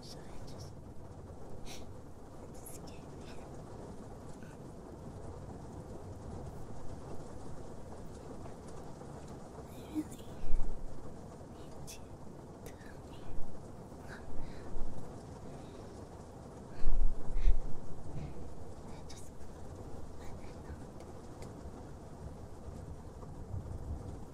So I just. am just scared. I really need you to help me.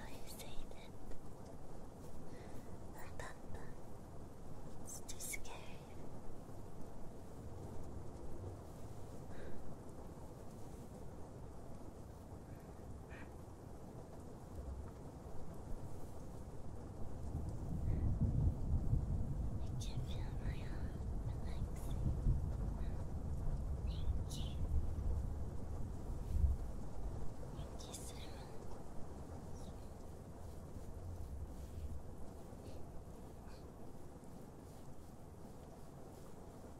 always say that. Not that bad. It's too scary. I can feel my heart relaxing. Thank you. Thank you so much.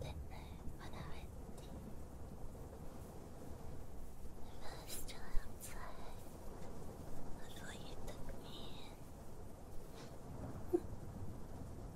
絶対笑えって The first time outside I thought you took me in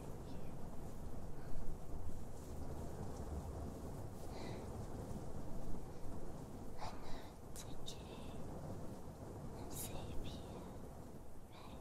I know it's okay. I'm safe here, right?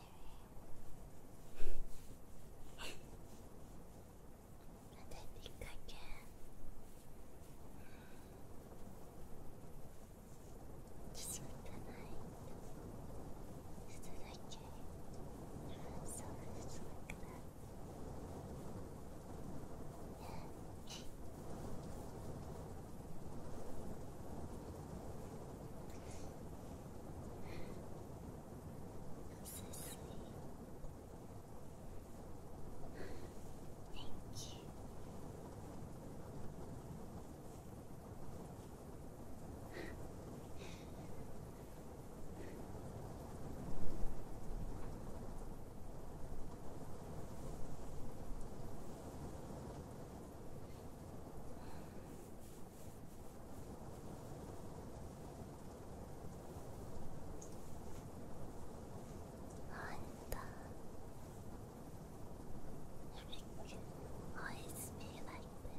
I think I can just sleep that I can have so much like so sweet. Thank you. んだ It can always be like this.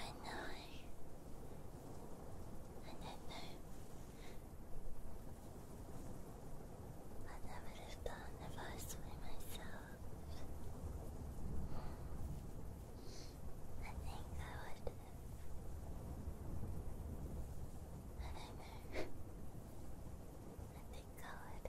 I know. I don't know. I would have done if I was doing myself. I think I would I don't know. I think I would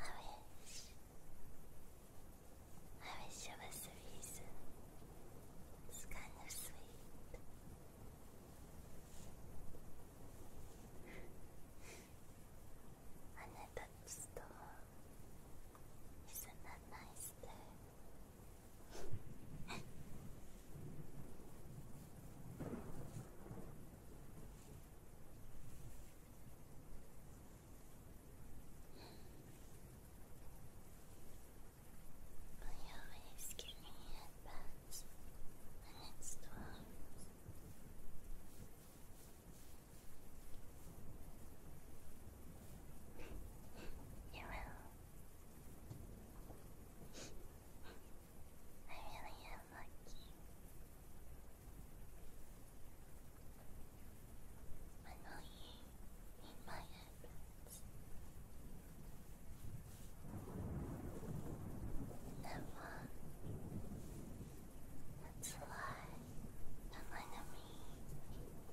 I wish. I wish it was the reason. It's kind of sweet. And I touched the wall. Isn't that nice there? I always give me headbands when it's warm. you will. I really lucky. I know you in my heavens. Never. That's why I'm enemy. I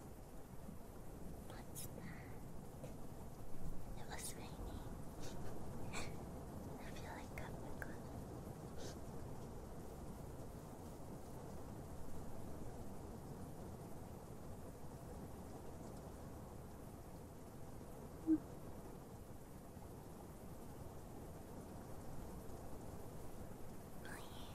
It was raining. I feel like I'm Hmm. Oh,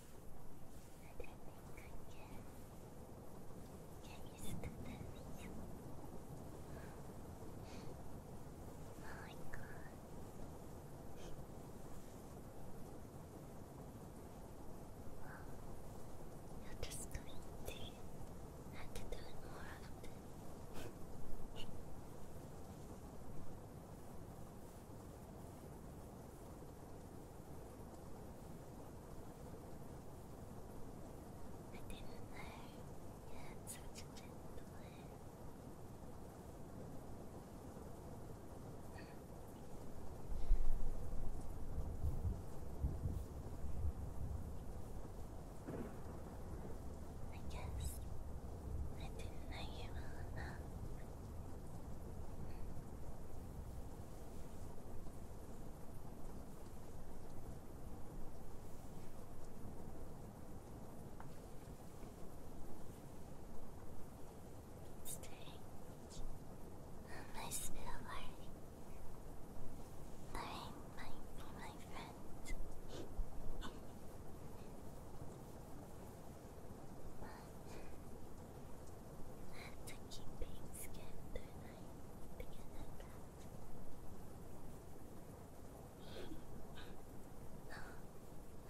I think I can. you sit at the Oh my god. you're just going to have to do it more often. I didn't know you had such a gentle head. I guess I didn't know you well enough strange. My silver Lorraine might be my friend. I have to keep being scared, don't I? To I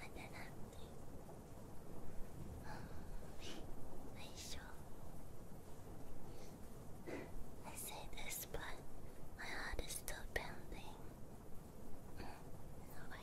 don't have to. Are you sure? I say this, but my heart is still pounding. I won't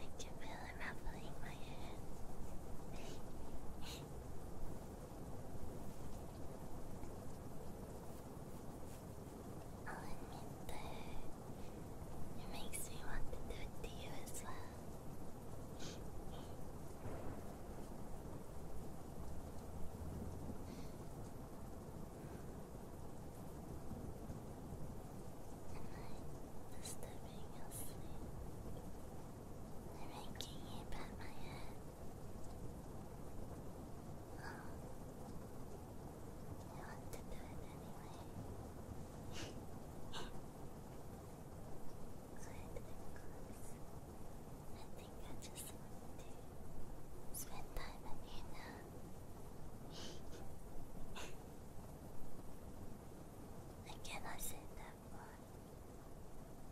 I can feel it ruffling my head. I'll admit that it makes me want to do it to you as well disturbing your sleep. I'm making you pat my head. I want to do it anyway. Good, I think I just want to spend time with you now. I cannot say that word.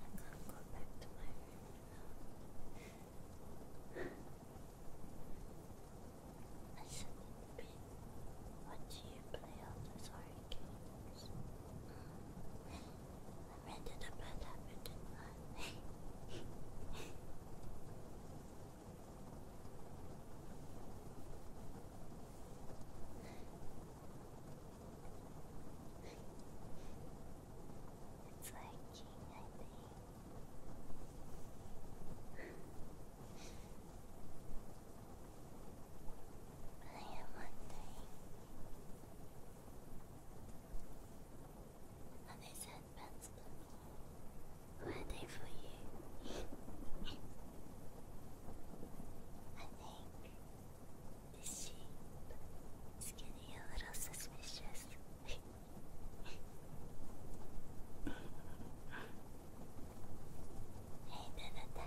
I'm gonna go back to my room I shouldn't What do you play on those horror games? I rented a bad habit, didn't It's liking, I I am wondering. Are these headbands were they for you? I think the sheep is getting a little suspicious. hey, don't attack me. I am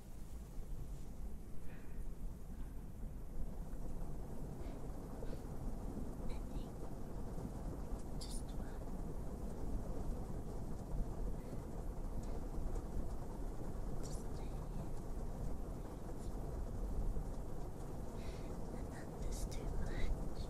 think just one. Just stay here. Not this too much. Just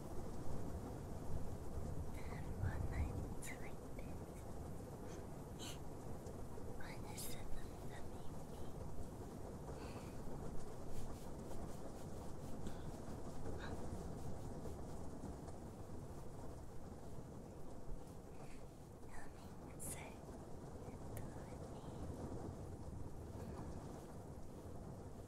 one night like this. Why is it that Coming so good me.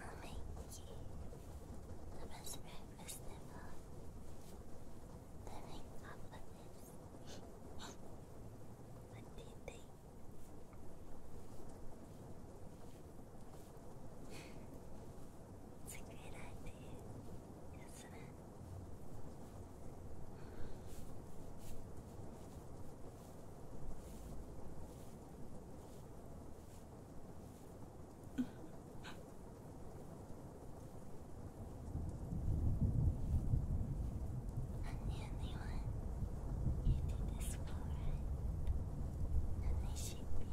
I'll make you the best breakfast ever. Living up with this. what do it's a great idea, isn't the only one who did this well right, and they should be. And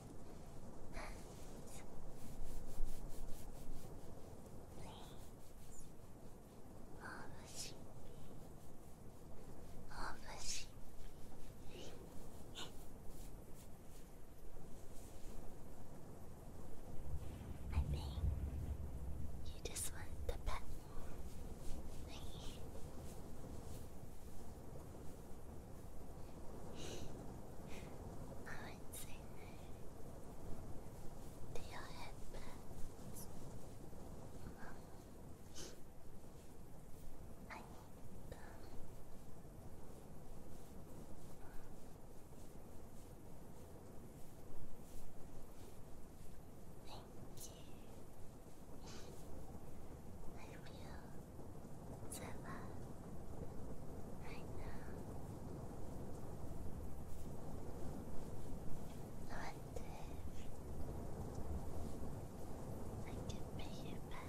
I think you just want the pet. I would say to your headbands. I Thank you. I feel so loved right now. Not if I can pay you back.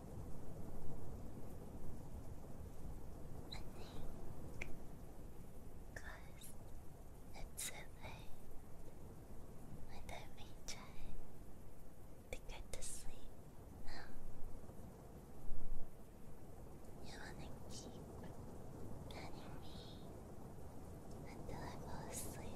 Cause it's so late I don't we try to sleep You wanna keep petting me until I fall asleep.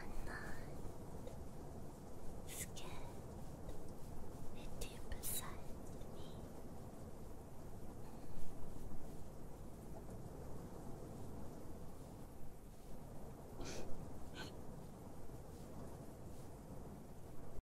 I'm not scared with you beside me.